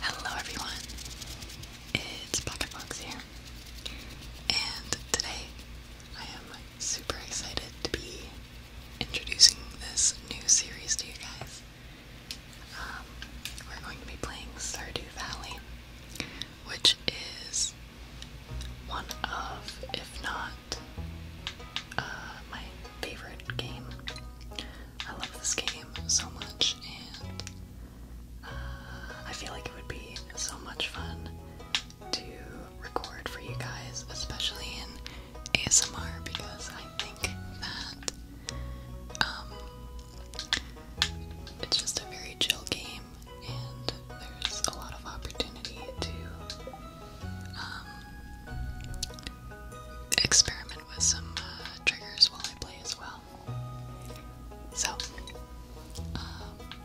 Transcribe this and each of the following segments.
Hello everyone, it's Pocket Fox here, and today I am super excited to be introducing this new series to you guys. Um, we're going to be playing Stardew Valley, which is one of, if not, uh, my favorite game. I love this game so much, and uh, I feel like it would be so much fun to record for you guys, especially in ASMR, because I think that um, it's just a very chill game and there's a lot of opportunity to um, experiment with some uh, triggers while I play as well. So, um,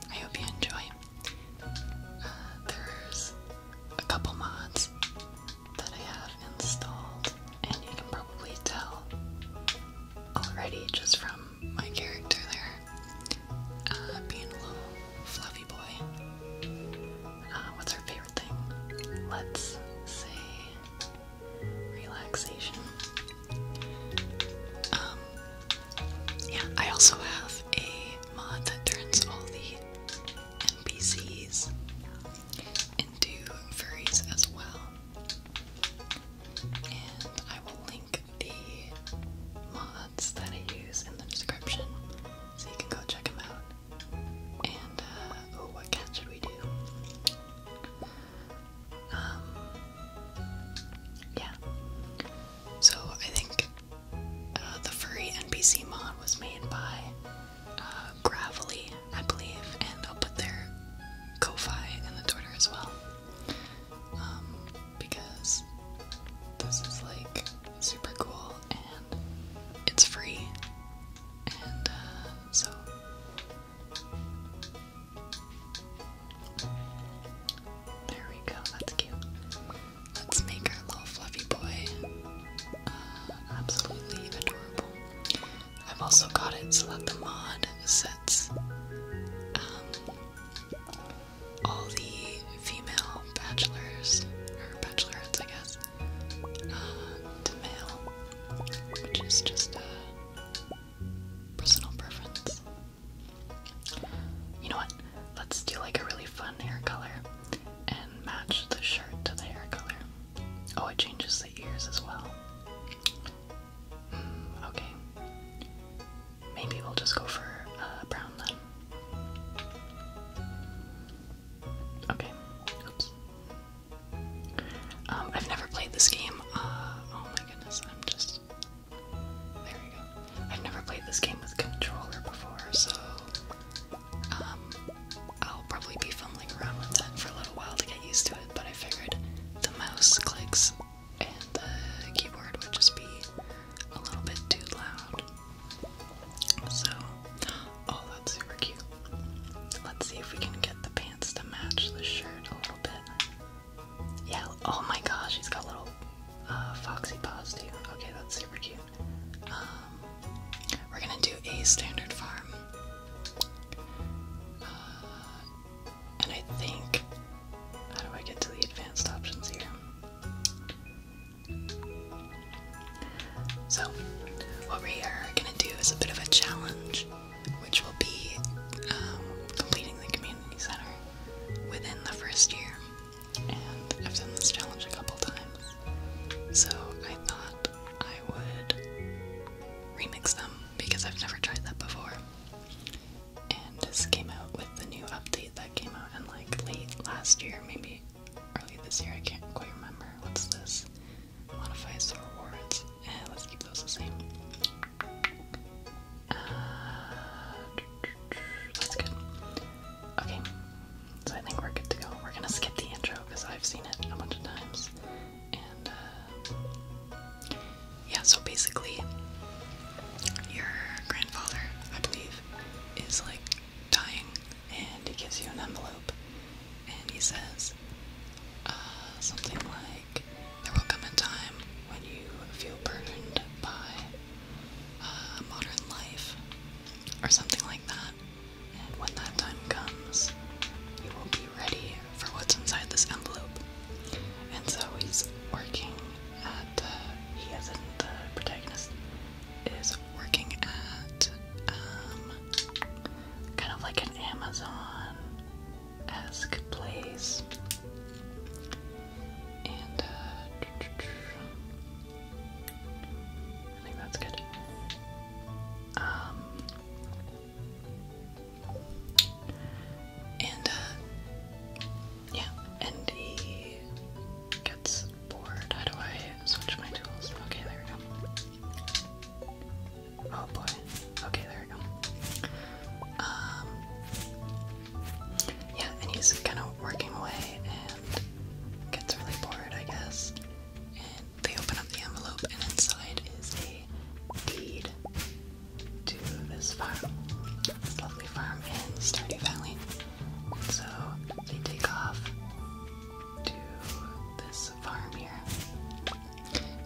I hope you enjoy. Uh, there's a couple mods that I have installed, and you can probably tell already just from my character there, uh, being a little fluffy boy. Uh, what's our favorite thing? Let's say relaxation. Um, yeah, I also have a mod that turns all the NPCs into furries as well. And I will link the mods that I use in the description so you can go check them out. And, uh, oh, what cat should we do? Um, yeah. So I think uh, the furry NPC mod was made by uh, Gravelly, I believe, and I'll put their Ko-Fi in the Twitter as well. Um, because this is like super cool and it's free, and uh, so there we go. That's cute. Let's make our little fluffy boy uh, absolutely adorable. I've also got it so that the mod sets um, all the female bachelors, or bachelors, I guess, uh, to male, which is just a personal preference. You know what? Let's do like a really fun hair color and match the shirt to the hair color. Oh, it changes the ears as well. Hmm, okay. Maybe we'll just go for uh, brown then. Okay. Oops. Um, I've never played this game. Uh, oh my goodness, I'm just. There we go. I've never played this game with controller before, so um, I'll probably be fumbling around with that for a little while to get used to it. But I figured the mouse clicks and the keyboard would just be a little bit too loud. So, oh, that's super cute. Let's see if we can get the pants to match the shirt a little bit. Yeah, oh my gosh, he's got little uh, foxy paws too. Okay, that's super cute. Um, we're gonna do a standard farm. Uh, and I think how do I get to the advanced options here? So, what we are gonna do is a bit of a challenge, which will be um, completing the community center within the first year. And I've done this challenge a couple times, so I thought I would remix them because I've never tried that before and this came out with the new update that came out in like late last year, maybe early this year. I can't quite remember. What's this? Modifies the rewards. Eh, let's keep those the same. Uh, that's good. Okay, so I think we're good to go. We're gonna skip the intro because I've seen it a bunch of times. And uh, yeah, so basically, your grandfather, I believe, is like dying, and he gives you an envelope, and he says uh, something like, "There will come a time when you feel burdened by uh, modern life, or something like that, and when that time comes, you will be ready for what's inside this envelope." And so he's working. Uh, he isn't the protagonist is working at um, kind of like an Amazon esque place. And uh, I think that's good. Um, and, uh, yeah, and gets bored. How do I switch my tools? Okay, there we go. Oh boy. Okay, there we go. Um, yeah, and he's kind of working away and gets really bored, I guess. And they open up the envelope, and inside is a deed to this farm, this lovely farm in Stardew Valley. So they take off to this farm here,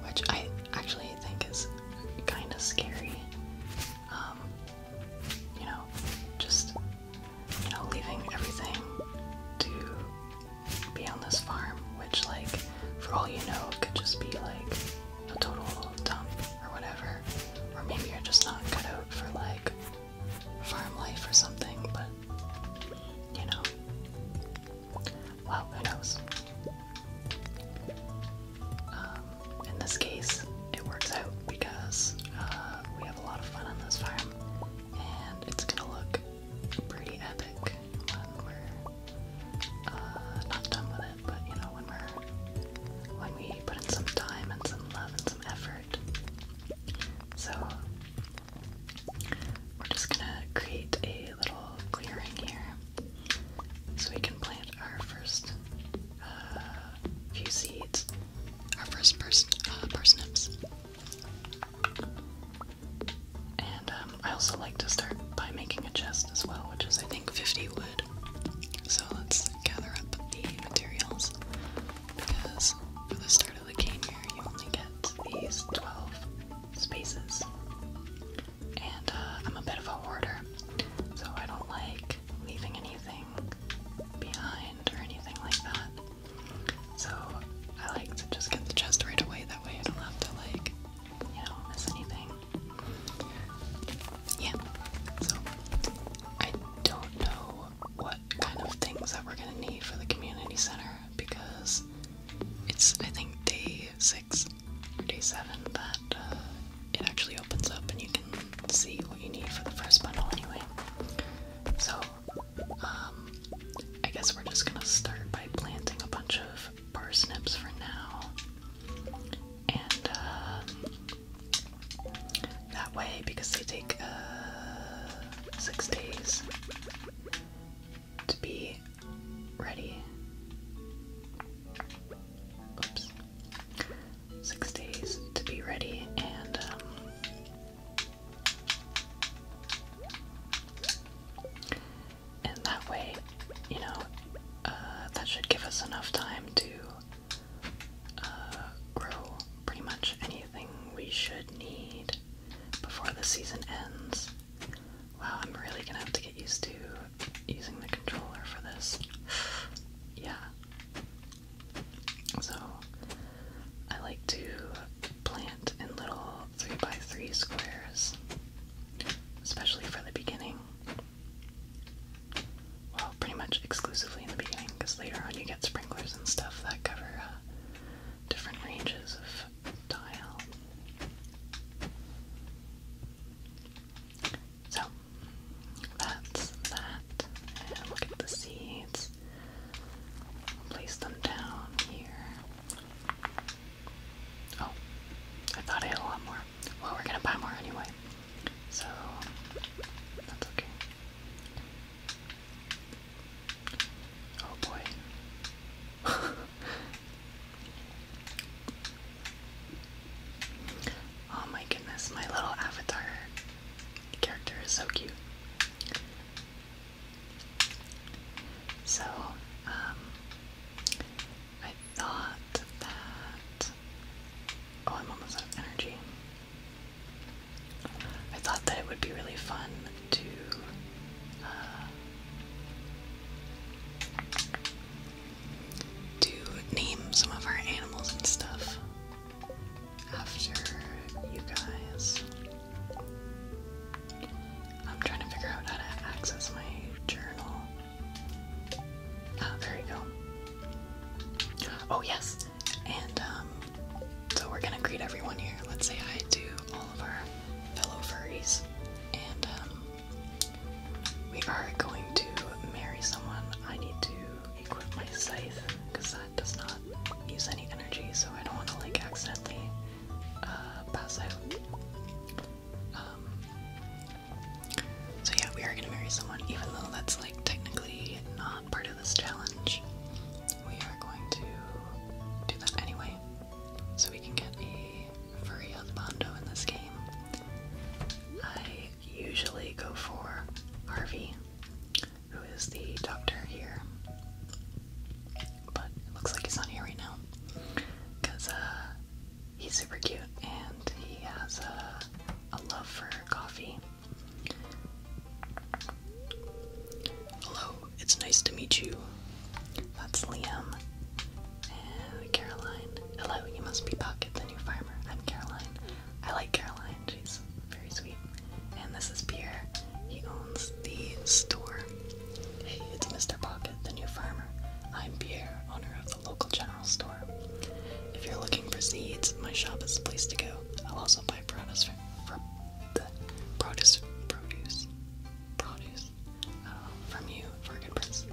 which I actually think is kind of scary. Um, you know, just you know, leaving everything to be on this farm, which like for all you know, could just be like a total dump or whatever. Or maybe you're just not cut out for like farm life or something, but you know. Well, who knows? Um, in this case, it works out because uh, we have a lot of fun on this farm, and it's gonna look pretty epic when we're uh, not done with but you know, when we're when we put in some time and some love and some effort. So we're just gonna create a little clearing here so we can plant our first uh, few seeds, our first pars uh, parsnips. And um, I also like to start by making a chest as well, which is I think 50 wood. So let's gather up the materials because for the start of the game here, you only get these 12 spaces. And uh, I'm a bit of a hoarder, so I don't like leaving anything behind or anything like that. So I like to just get the chest right away, that way I don't have to, like, you know, miss anything. Yeah, so I don't know what kind of things that we're gonna need for the community center because it's, I think, day six or day seven that uh, it actually opens up and you can see what you need for the first bundle anyway. So, um, I guess we're just gonna start by planting a bunch of parsnips for now. And, uh, that way because they take uh, six days to be ready. Six days to be ready, and um, and that way, you know, uh, that should give us enough time to uh, grow pretty much anything we should need before the season ends. Wow, I'm really gonna have to get used to using the controller for this. yeah. So, I like to plant in little 3 by 3 squares, especially for the beginning. Well, pretty much exclusively in the beginning, because later on you get sprinklers and stuff that cover uh, different ranges of tile. So, that's that. look at the seeds. Place them down here. Oh, I thought I had a lot more. Well, we're gonna buy more anyway. So, that's okay. Oh boy. oh my goodness, my little avatar character is so cute. So, um, I thought that Oh, I'm almost out of energy. I thought that it would be really fun to to uh, name some of our animals and stuff after you guys. I'm trying to figure out how to access my journal. Ah, there you go. Oh, yes. And um, so we're gonna greet everyone here. Let's say hi to all of our fellow furries. And um, we are going to marry someone. I need to equip my scythe because that does not use any energy, so I don't want to like accidentally uh, pass out. Um, so yeah, we are gonna marry someone, even though that's like technically not part of this challenge. We are going to do that anyway. So we can get a furry husbando in this game. I usually go for Harvey, who is the doctor here. But it looks like he's not here right now. Cause uh he's super cute and he has a uh, a love for coffee. Hello, it's nice to meet you. That's Liam. And Caroline. Hello, you must be Pocket, the new farmer. I'm Caroline. I like Caroline, she's very sweet. And this is Pierre. He owns the store. Hey, it's Mr. Pocket, the new farmer. I'm Pierre, owner of local general store. If you're looking for seeds, my shop is the place to go. I'll also buy produce uh, from, you for a good price.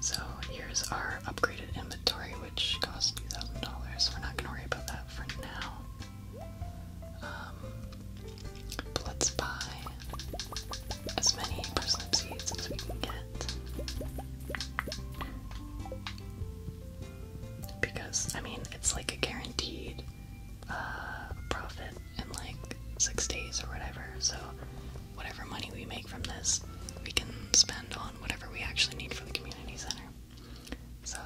So here's our upgraded inventory, which costs two thousand dollars. We're not gonna worry about that for now. Um, let's buy as many parsnip seeds as we can get. Because, I mean, it's like a guaranteed uh, profit in like six days or whatever. So, whatever money we make from this, we can spend on whatever we actually need for the community center. So,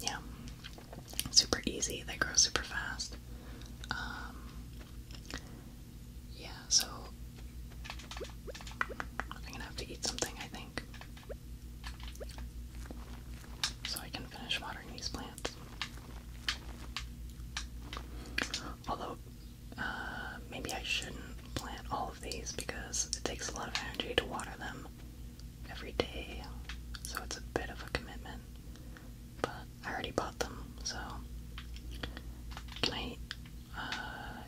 yeah, super easy. They grow super fast. Um, yeah, so I'm gonna have to eat something, I think. So I can finish watering these plants. Although, uh, maybe I shouldn't plant all of these because it takes a lot of energy to water them every day, so it's a bit of a commitment. But I already bought them, so can uh,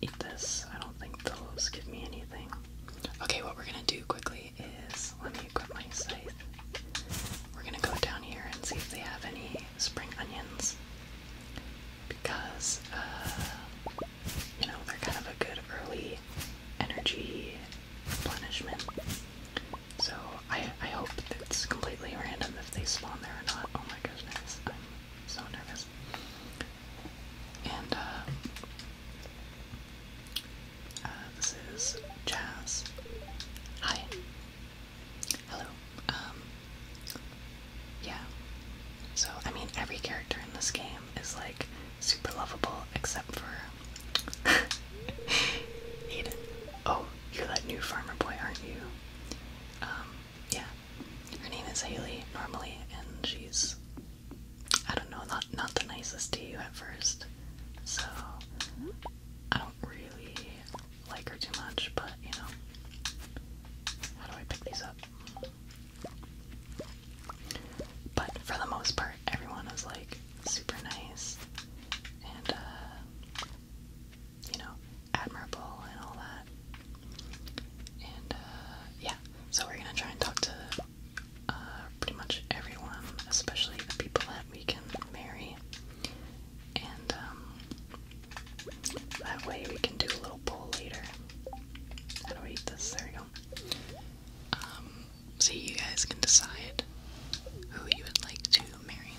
eat this. I don't think those give me anything. Okay, what we're gonna do quickly is let me equip my scythe. We're gonna go down here and see if they have any spring onions. Because, uh, you know, they're kind of a good early energy replenishment. So I, I hope it's completely random if they spawn there or not. Oh my goodness, so nervous. And uh, uh, this is Jazz. Hi. Hello. Um. Yeah. So I mean, every character in this game is like super lovable, except for Aiden. Oh, you're that new farmer boy, aren't you? Um yeah, her name is Haley normally, and she's I don't know, not not the nicest to you at first. So I don't really like her too much, but you know. How do I pick these up? But for the most part, everyone is like super nice and uh you know, admirable and all that. And uh, yeah, so we're gonna try and talk to uh, pretty much everyone, especially the people that we can marry, and um, that way we can do a little poll later. How do I eat this? There we go. Um, so you guys can decide who you would like to marry.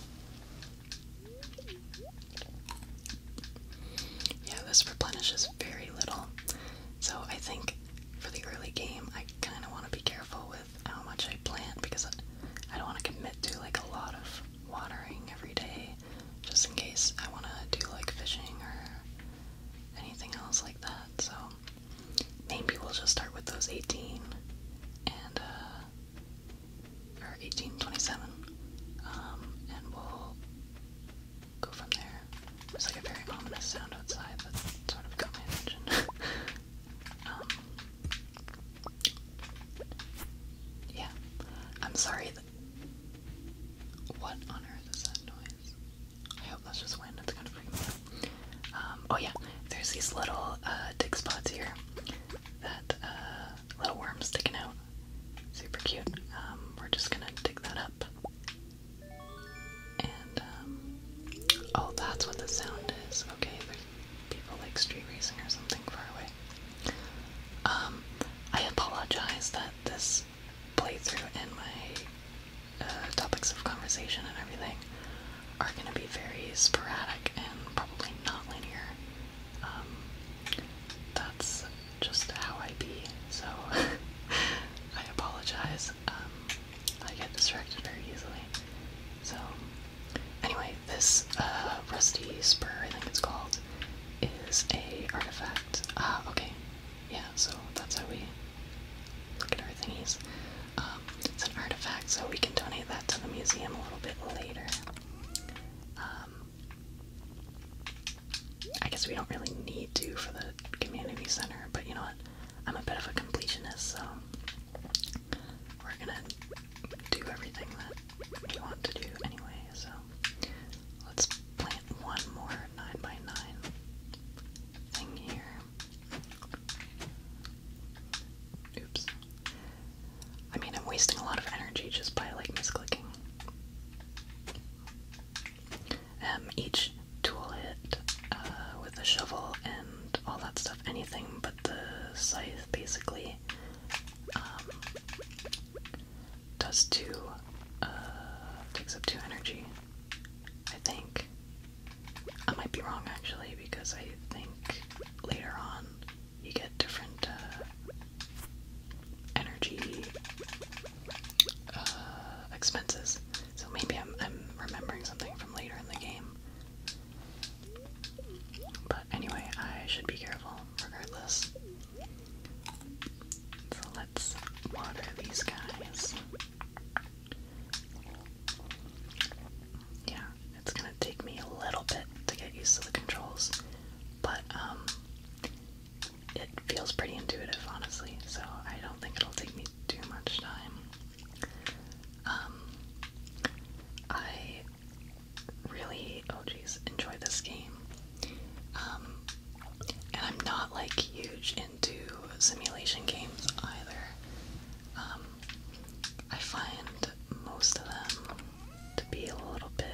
Yeah, this replenishes very little. So I think for the early game, I kind of want to be careful with how much I plant because I don't want to commit to like a lot of watering every day just in case I want to do like fishing or anything else like that. So maybe we'll just start with those 18 and uh, or 1827, um, and we'll go from there. There's like a very ominous sound outside that sort of got my attention. Um, yeah, I'm sorry. What on earth is that noise? I hope that's just wind. It's gonna freak me out. oh yeah, there's these little uh, spots here that uh, little worms sticking out super cute. Um, we're just gonna dig that up. And, um, oh, that's what the sound is. Okay, there's people like street racing or something far away. Um, I apologize that this playthrough and my uh, topics of conversation and everything are gonna be very sporadic and probably not linear. Um, that's just how I be, so I apologize. Um, I get distracted very easily. So, anyway, this uh, rusty spur, I think it's called, is an artifact. Ah, okay. Yeah, so that's how we look at our thingies. Um, it's an artifact, so we can donate that to the museum a little bit later. I guess we don't really need to for the community center, but you know what? I'm a bit of a completionist, so we're gonna do everything that we want to do anyway. So let's plant one more 9x9 thing here. Oops. I mean, I'm wasting a lot of energy just by like misclicking. Um, each tool hit uh, with the shovel and all that stuff, anything but the scythe basically um, does two, uh, takes up two energy, I think. I might be wrong actually because I think later on you get different uh, energy uh, expenses. So maybe I'm, I'm remembering something from later in the game. But anyway, I should be careful regardless. So let's water these guys. Yeah, it's gonna take me a little bit to get used to the controls, but um, it feels pretty intuitive, honestly, so I don't think it'll take me too much time. Um, I really, oh jeez, enjoy this game. Um, and I'm not like huge into simulation games either. Um, I find most of them to be a little bit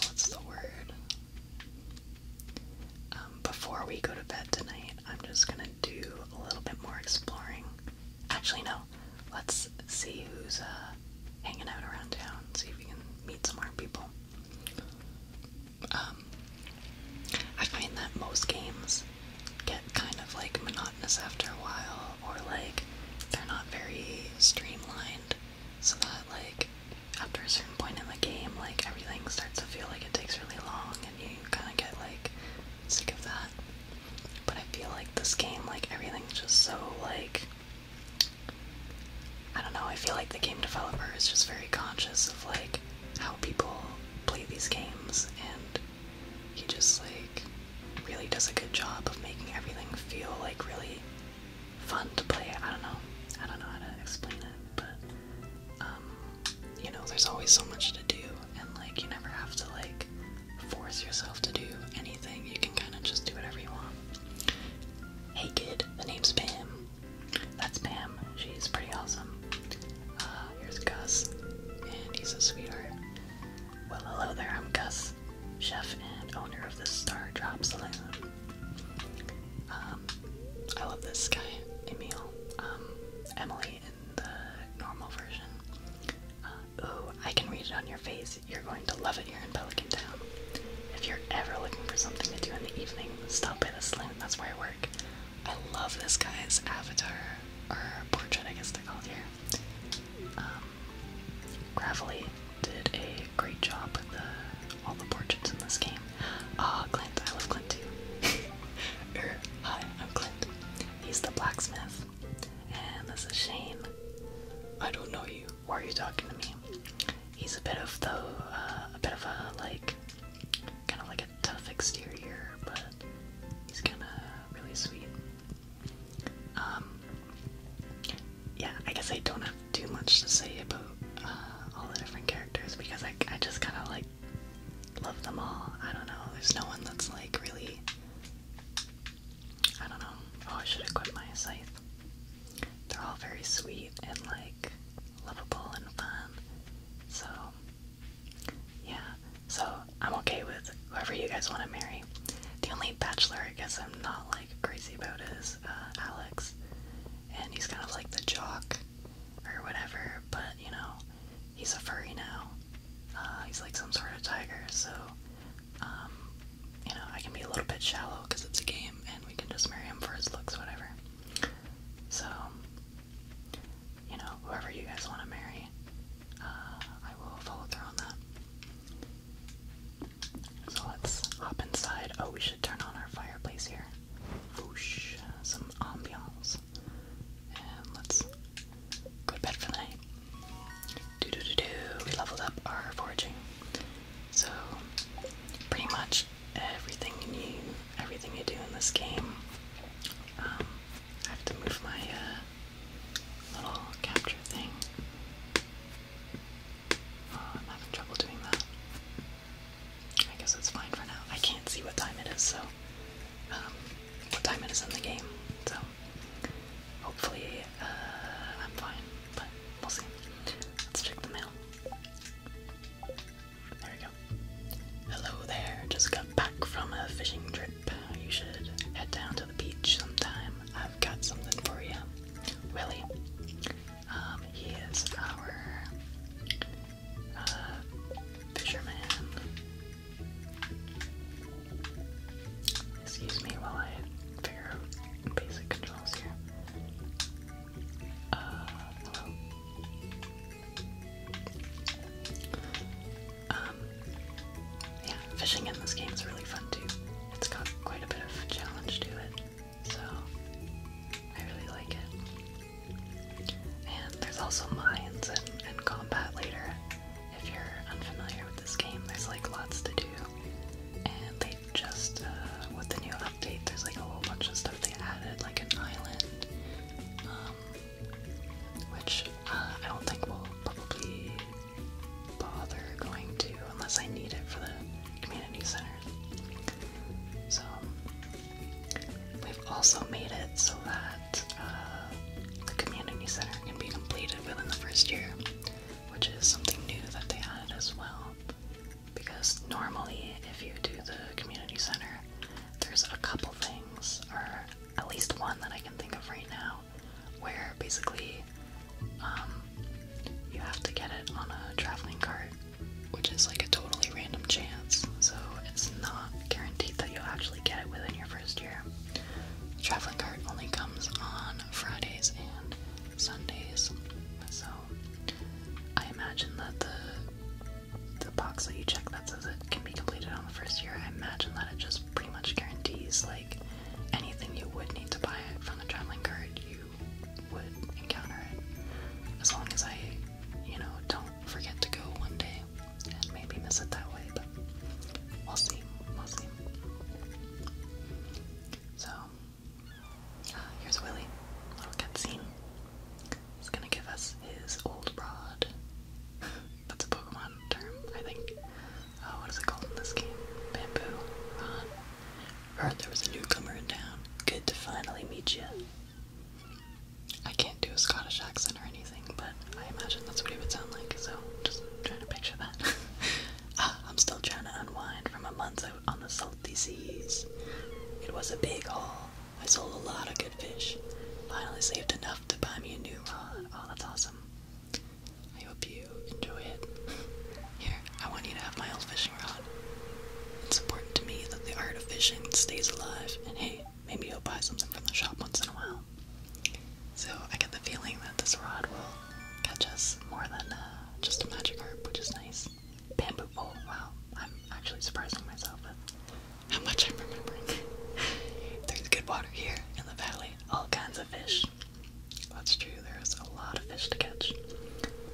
what's the word? Um, before we go to bed tonight, I'm just gonna do a little bit more exploring. Actually, no. Let's see who's uh, hanging out around town. See if we can meet some more people. Um, I find that most games get kind of like monotonous after a while, or like they're not very streamlined so that like after a certain point in the game like everything starts to feel like it takes really long and you kind of get like sick of that but I feel like this game like everything's just so like I don't know I feel like the game developer is just very conscious of like how people play these games and he just like really does a good job of making everything feel like really fun to play. I don't know. I don't know how to explain it, but um, you know, there's always so much to do, and like you never have to like force yourself to do anything. You can kind of just do whatever you want. Hey kid, the name's Pam. That's Pam. She's pretty awesome. Uh, here's Gus, and he's a sweetheart. Well, hello there, I'm Gus, chef and owner of the Star Drop Saloon. Um, I love this guy, Emil. Um, Emily in the normal version. Uh, ooh, I can read it on your face. You're going to love it here in Pelican Town. If you're ever looking for something to do in the evening, stop by the saloon. That's where I work. I love this guy's avatar, or portrait, I guess they're called here. Um, Gravelly did a great job with all the portraits in this game. Ah, Clint. I love Clint too. Er, hi, I'm Clint. He's the blacksmith. And this is Shane. I don't know you. Why are you talking to me? He's a bit of the, uh, a bit of a like, kind of like a tough exterior, but he's kind of really sweet. Um, yeah, I guess I don't have too much to say about uh, all the different characters because I, I just kind of like love them all. I don't know. There's no one that's like really. I don't know. Oh, I should equip my scythe. They're all very sweet and like lovable and fun. So, yeah. So I'm okay with whoever you guys want to marry. The only bachelor I guess I'm not like crazy about is uh, Alex, and he's kind of like the jock or whatever. But you know, he's a furry now. Uh, he's like some sort of tiger, so um, you know I can be a little bit shallow because it's a game, and we can just marry him for his looks, whatever. So you know, whoever you guys want to marry. Uh, I will follow through on that. So let's hop inside. Oh, we should turn on our fireplace here. some ambiance. And let's go to bed for the night. We leveled up our foraging. So pretty much everything you everything you do in this game um, I have to move my uh, little capture thing. Oh, I'm having trouble doing that. I guess it's fine for now. I can't see what time it is, so um, what time it is in the game. So hopefully uh, I'm fine, but we'll see. Let's check the mail. There we go. Hello there. Just got back from a fishing trip you should head down to the beach sometime. I've got something for you. Willie, um, he is our uh, fisherman. Excuse me while I figure out basic controls here. Uh, hello. Um, yeah, fishing in this game is really fun too. It's got quite a bit of challenge to it, so I really like it. And there's also mines and, combat later. If you're unfamiliar with this game, there's like lots to do. And they just, uh, with the new update, there's like a whole bunch of stuff they added, like an island, um, which uh, I don't think will probably bother going to unless I need it for the community center. So we've also made it so that uh, the community center can be completed within the first year, which is something new that they added as well. Because normally, if you do the community center, there's a couple things, or at least one that I can think of right now, where basically um, you have to get it on a traveling cart, which is like a totally random chance, so it's not guaranteed that you'll actually get it within your first year. traveling cart only comes on Fridays and Sundays, so I imagine that the the box that you check that says it can be completed on the first year, I imagine that it just pretty much guarantees like anything you would need to buy it from the traveling cart, you would encounter it. As long as I, you know, don't forget to go one day and maybe miss it that way, but we'll see. We'll see. So, here's Willie. Little cutscene. He's gonna give us his old broad. That's a Pokemon term, I think. Uh, what is it called in this game? Bamboo? Heard uh, there was a newcomer in town. Good to finally meet you. I can't do a Scottish accent or anything, but I imagine that's what he would sound like, so just trying to picture that. Ah, I'm still trying to unwind from a month out on the salty seas. It was a big haul. I sold a lot of good fish. Finally saved enough to buy me a new rod. Oh, that's awesome. I hope you enjoy it. Here, I want you to have my old fishing rod. It's important to me that the art of fishing stays alive, and hey, maybe you'll buy something from the shop once in a while. So I get the feeling that this rod will catch us more than uh, just a magic harp, which is nice. Bamboo pole, wow, I'm actually surprising myself with how much I'm remembering. There's good water here in the valley, all kinds of fish. That's true, there's a lot of fish to catch.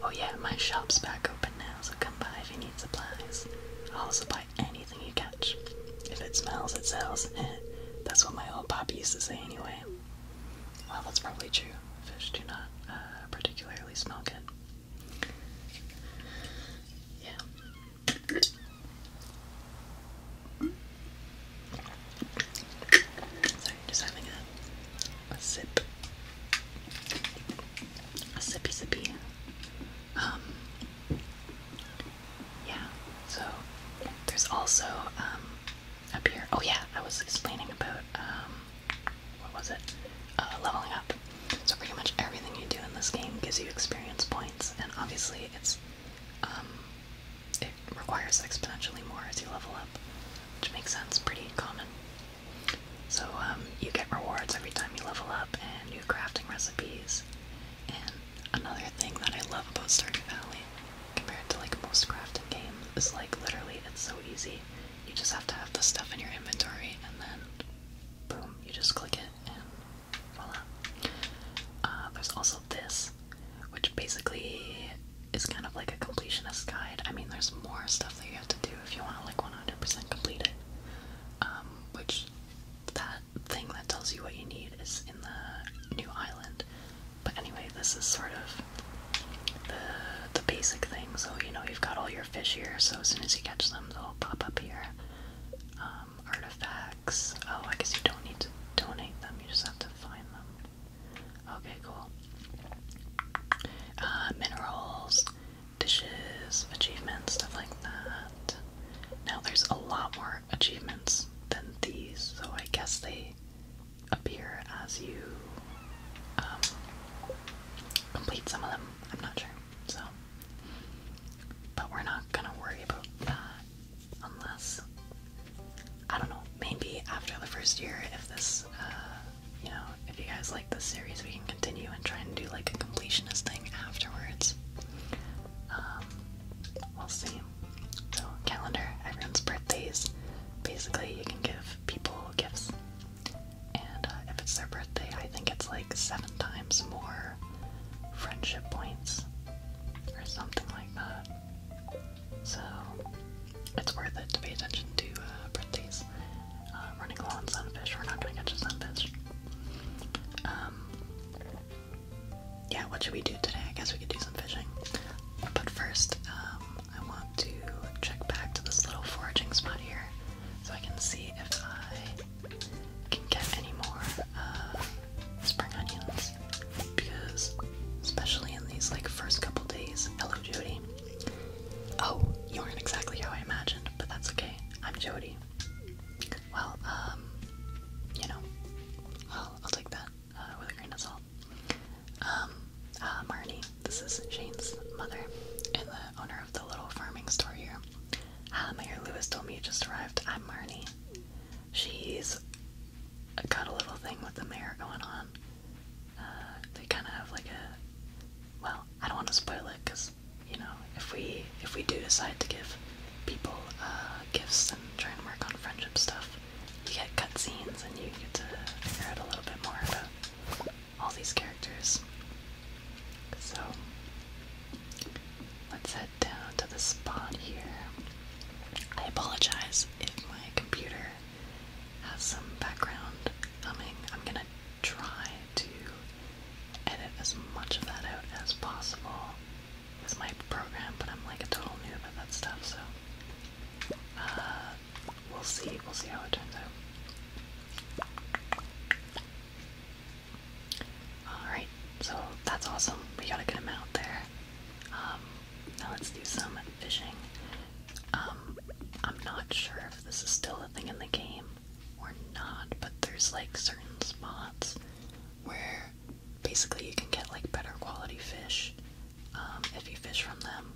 Oh, yeah, my shop's back open now, so come by if you need supplies. I'll buy anything you catch. If it smells, it sells. Eh, that's what my old pop used to say, anyway. Well, that's probably true. Fish do not uh, particularly smell good. Yeah. So just having a a sip, a sippy sippy. Um, yeah. So there's also um up here. Oh yeah, I was explaining about um what was it? Uh, leveling up. So pretty much everything you do in this game gives you experience points, and obviously it's um it requires exponentially more as you level up, which makes sense, pretty common. So um, you get rewards every time you level up and new crafting recipes. And another thing that I love about Stardew Valley, compared to like most crafting games, is like literally it's so easy. You just have to have the stuff in your inventory and then boom, you just click it and voila. Uh, there's also this, which basically is kind of like a completionist guide. I mean, there's more stuff that you have to do if you want to like 100% complete it. Um, which that thing that tells you what you need is in the new island. But anyway, this is sort of the the basic thing. So you know you've got all your fish here. So as soon as you catch them, they'll pop up here. Um, artifacts. Oh, I guess you don't need to donate them, you just have to find them. Okay, cool. Uh, minerals, dishes, achievements, stuff like that. Now, there's a lot more achievements than these, so I guess they appear as you um, complete some of them. I'm not sure. So, but we're not gonna worry about that unless I don't know. Maybe after the first year, if this, uh, you know, if you guys like this series, we can continue and try and do like a completionist thing afterwards. Um, we'll see. So calendar, everyone's birthdays. Basically, you can give people gifts, and uh, if it's their birthday, I think it's like seven times more friendship points or something like that. So it's worth it to pay attention to uh, uh running low sunfish, we're not gonna catch a sunfish. Um, yeah, what should we do today? I guess we could do some fishing. But first, um, I want to check back to this little foraging spot here so I can see if I can get any more uh, spring onions because especially in these like first couple days. Hello Jody. Oh, you weren't exactly how I imagined, but that's okay. I'm Jody. Well, um, you know, well, I'll take that uh, with a grain of salt. Um, uh, Marnie, this is Jane's mother and the owner of the little farming store here. Ah, Mayor Lewis told me you just arrived. I'm Marnie. She's I got a little thing with the mayor going on. Uh, they kind of have like a, well, I don't want to spoil it because you know if we if we do decide to give people uh, gifts and try and work on friendship stuff, you get cutscenes and you get to figure out a little bit more about all these characters. So let's head down to the spot here. I apologize if my computer has some background humming. I'm gonna try to edit as much of that out as possible with my program, but I'm like a total noob at that stuff, so uh, we'll see. We'll see how it turns out. Alright, so that's awesome. We gotta get him out there. Um, now let's do some fishing. Um, I'm not sure if this is still a thing in the game or not, but there's like certain spots where basically you can get like better quality fish um, if you fish from them.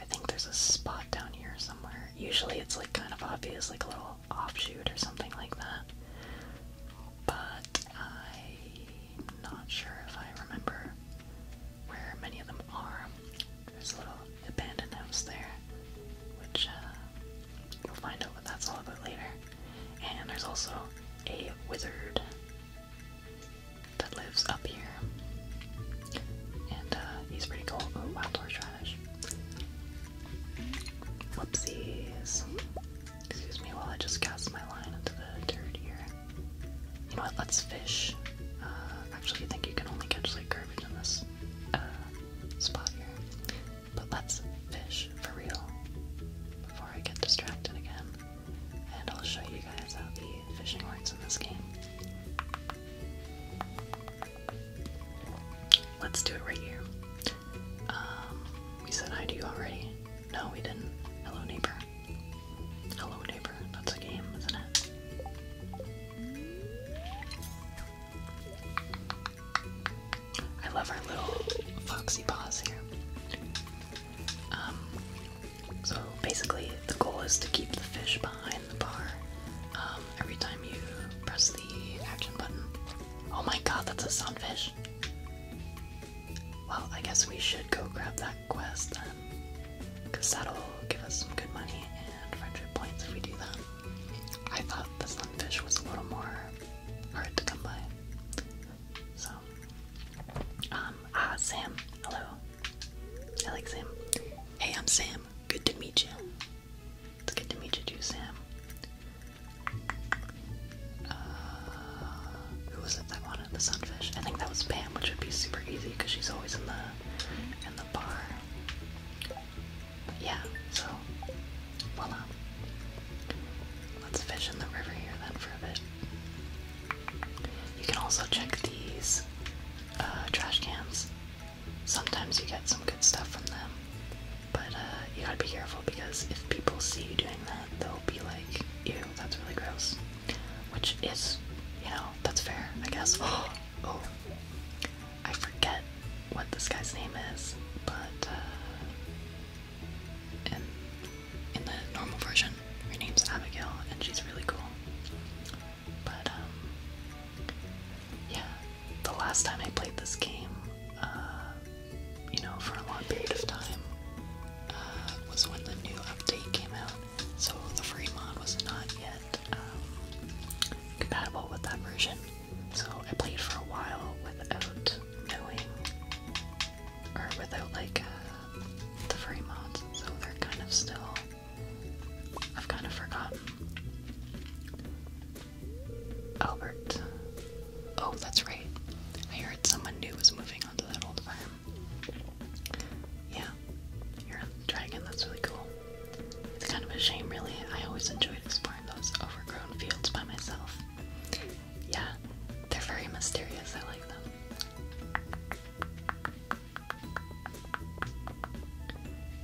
I think there's a spot down here somewhere. Usually it's like kind of obvious, like a little offshoot or something like that. But I not sure if I remember where many of them are. There's a little abandoned house there, which uh, we will find out what that's all about later. And there's also a wizard that lives up here. And uh, he's pretty cool. Oh, wild wow, trash. Whoopsies. Excuse me while I just cast my line into the dirt here. You know what? Let's fish. Uh, actually, I think you can only catch like garbage in this uh, spot here. But let's fish for real before I get distracted again. And I'll show you guys how the fishing works in this game. Let's do it right here. Um, we said hi to you already. No, we didn't. Hello, neighbor. Hello, neighbor. That's a game, isn't it? I love our little foxy paws here. Um, so basically, the goal is to keep the fish behind the bar um, every time you press the action button. Oh my god, that's a sunfish! Well, I guess we should go grab that quest then. Because that'll give us some good money and friendship points if we do that. I thought the sunfish was a little more hard to come by. So, um, ah, Sam. Hello. I Sam. Hey, I'm Sam. Good to meet you. It's good to meet you too, Sam. Uh, who was it that wanted the sunfish? I think that was Pam, which would be super easy because she's always in the in the bar. yeah, so voila. Let's fish in the river here then for a bit. You can also check these uh, trash cans. Sometimes you get some good stuff from them, but uh, you gotta be careful because if people see you doing that, they'll be like, that's really gross. Which is, you know, that's fair, I guess. oh, I forget what this guy's name is, but uh, in, in the normal version, her name's Abigail, and she's really cool. But, um, yeah, the last time I played this game, uh, you know, for a long period of time, uh, was when the new update came out. So the free mod was not yet um, compatible with that version. So I played for a while without knowing, or without like uh, the free mods. So they're kind of still, I've kind of forgotten. Albert. Oh, that's right. I heard someone new was moving yeah, you're a dragon, that's really cool. It's kind of a shame, really. I always enjoyed exploring those overgrown fields by myself. Yeah, they're very mysterious, I like them.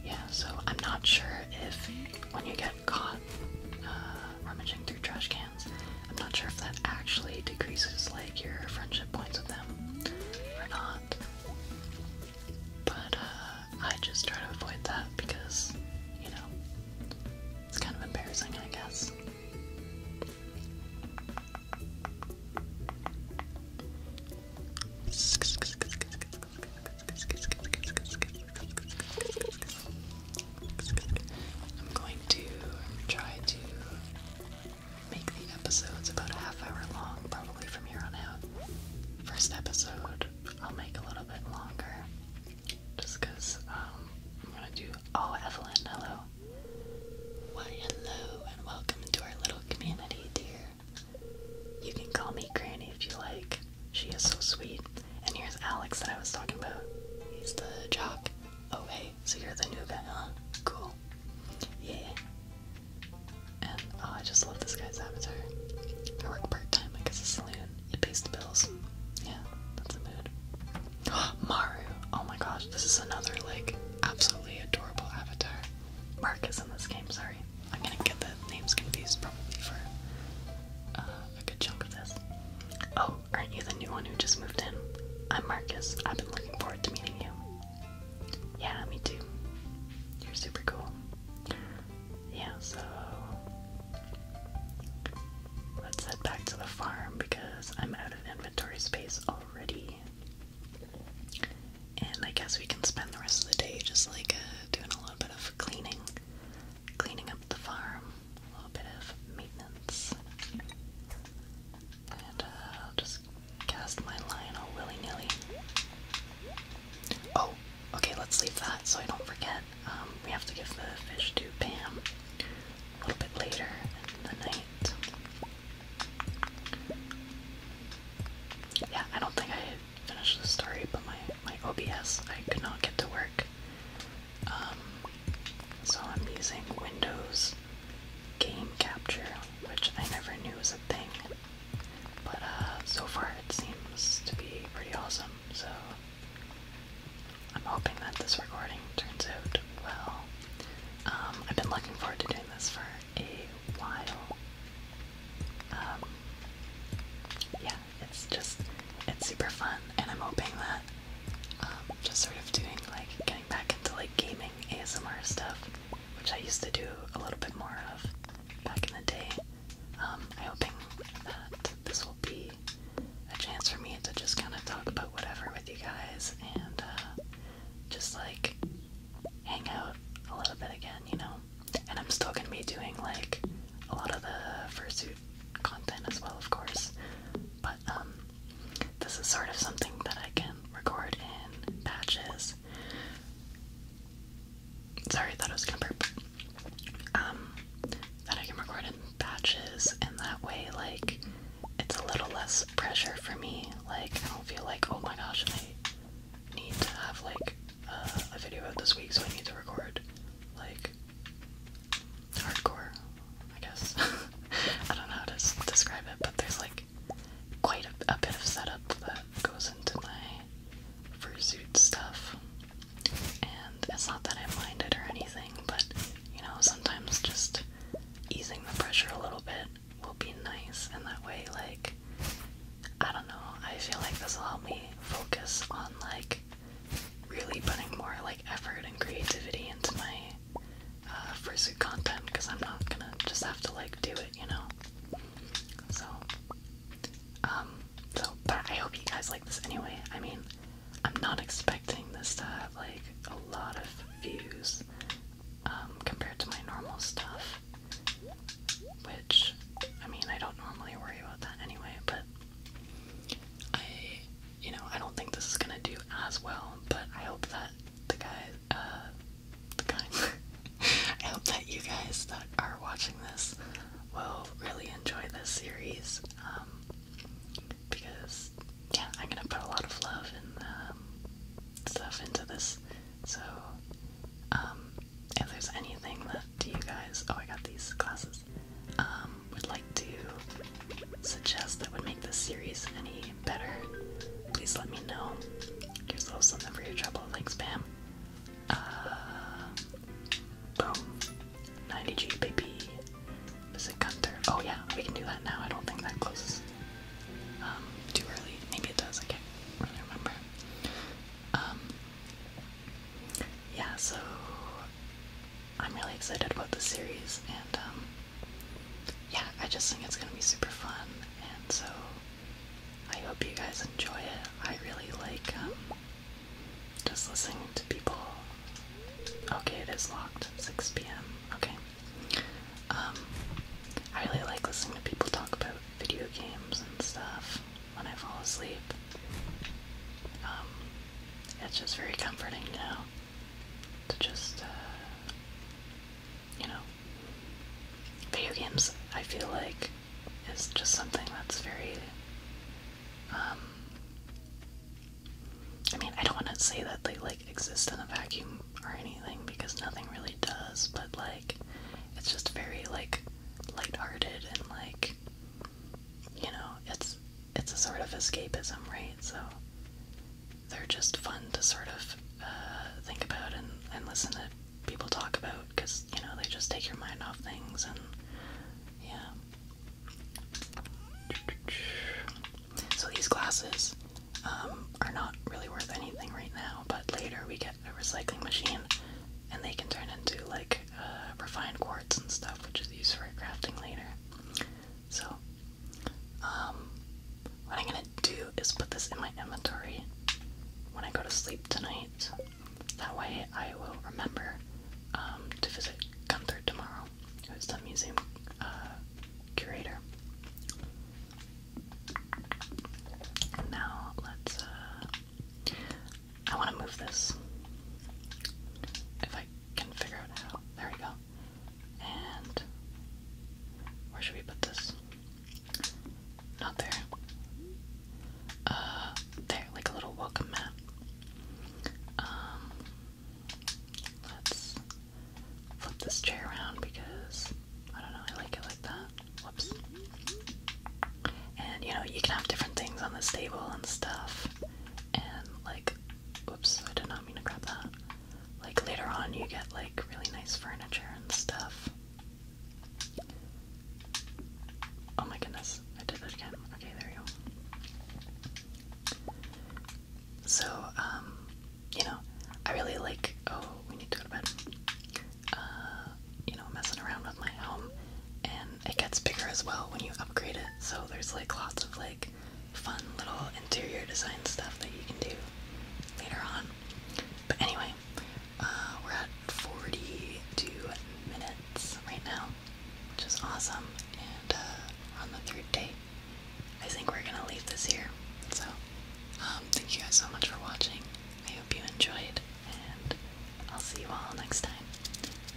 Yeah, so I'm not sure if when you get caught uh, rummaging through trash cans, I'm not sure if that actually decreases like your friendship points with them or not. But uh, I just try to avoid that because, you know, it's kind of embarrassing, I guess. I'm going to try to make the episodes about a half hour long, probably from here on out. First episode, I'll make a little bit longer, just because um, I'm gonna do. Oh, Evelyn, hello. Why, hello, and welcome to our little community, dear. You can call me Granny if you like. She is so sweet. And here's Alex that I was talking about. He's the jock. Oh, hey, so you're the new guy, huh? Cool. Yeah. And oh, I just love this guy's avatar. I work part time, I guess a saloon. It pays the bills. Yeah, that's the mood. Maru! Oh my gosh, this is another, like, absolutely adorable avatar. Mark is in this game, sorry. I'm gonna get the names confused probably for uh, a good chunk of this. Oh, aren't you the new one who just moved in? I'm Marcus. I've been looking forward to meeting you. Yeah, me too. You're super cool. Yeah, so let's head back to the farm because I'm out of inventory space already. And I guess we can spend the rest of the day just like uh, doing a little bit of cleaning cleaning up the farm, a little bit of maintenance. And uh, just cast my line all willy nilly. Oh, okay, let's leave that so I don't forget. Um, we have to give the fish to Pam a little bit later in the night. Yeah, I don't think I finished the story, but my, my OBS, I could not get to work. Um, so I'm using Windows Game Capture, which I never knew was a thing. But uh, so far it seems to be pretty awesome, so I'm hoping that this recording turns out well. Um, I've been looking forward to doing this for a while. Um, yeah, it's just, it's super fun, and I'm hoping that um, just sort of doing like getting back into like gaming ASMR stuff, which I used to do a little bit more of back in the day. Um, I'm hoping that this will be a chance for me to just kind of talk about whatever with you guys and uh, just like hang out a little bit again, you know. And I'm still gonna be doing like a lot of the fursuit content as well, of course. But um, this is sort of something that I can record in batches. Sorry, I thought I was gonna burp. Um, that I can record in batches, and that way, like, it's a little less pressure for me. Like, I don't feel like, oh my gosh, I need to have like a video out this week, so I need to record like hardcore, I guess. I don't know how to describe it, but there's like quite a, bit of setup that goes into my suit stuff. And it's not that I mind it or anything, but you know, sometimes just easing the pressure a little bit will be nice, and that way, like, I don't know, I feel like this will help me focus on like really putting more like effort and creativity into my uh, content because I'm not gonna just have to like do it, you know. So, um, so but I hope you guys like this anyway. I mean, I'm not expecting this to have like a lot of views um, compared to my normal stuff, which I mean I don't normally worry about that anyway, but I, you know, I don't think this is gonna do as well, but I hope that the guys, uh, the guy, I hope that you guys that are watching this will really enjoy this series, um, because, yeah, I'm gonna put a lot of love and, um, stuff into this, so, um, if there's anything left to you guys, oh, I got these glasses um, would like to suggest that would make this series any better, please let me know. Here's a little something for your trouble. Thanks, Pam. Uh, boom. 90G, baby. Visit Gunther. Oh, yeah, we can do that now. I don't think that closes um, too early. Maybe it does. Okay. really remember. Um, yeah, so I'm really excited about the series, and um, yeah, I just think it's gonna be super fun, and so I hope you guys enjoy it. I really like um, just listening to people. Okay, it is locked. 6 p.m. Okay. Um, I really like listening to people talk about video games and stuff when I fall asleep. Um, it's just very comforting now to just, uh, you know, video games, I feel like, it's just something that's very, um, I mean, I don't want to say that they, like, exist in a vacuum or anything, because nothing really does, but, like, it's just very, like, lighthearted and, like, you know, it's, it's a sort of escapism, right? So they're just fun to sort of uh, think about and, listen to people talk about because, you know, they just take your mind off things and yeah. So these glasses um, are not really worth anything right now, but later we get a recycling machine and they can turn into like uh, refined quartz and stuff, which is used for crafting later. So um, what I'm gonna do is put this in my inventory when I go to sleep tonight. That way I will remember um, to visit Gunther tomorrow, who's the museum uh, curator. Now let's. Uh, I want to move this. If I can figure out There we go. And where should we put this? Not there. Uh, there, like a little welcome mat. Um, let's flip this chair around because I don't know, I like it like that. Whoops. And you know, you can have different things on this table and stuff and like oops, I did not mean to grab that. Like later on you get like really nice furniture and stuff. Oh my goodness, I did that again. Okay, there you go. So, um, you know, I really like oh, we need to go to bed. Uh, you know, messing around with my home and it gets bigger as well when you upgrade it. So there's like lots of like fun little interior design stuff that you can do later on. But anyway, uh, we're at 42 minutes right now, which is awesome. And uh, on the third day. I think we're gonna leave this here. So, um, thank you guys so much for watching. I hope you enjoyed, and I'll see you all next time.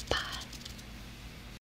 Bye.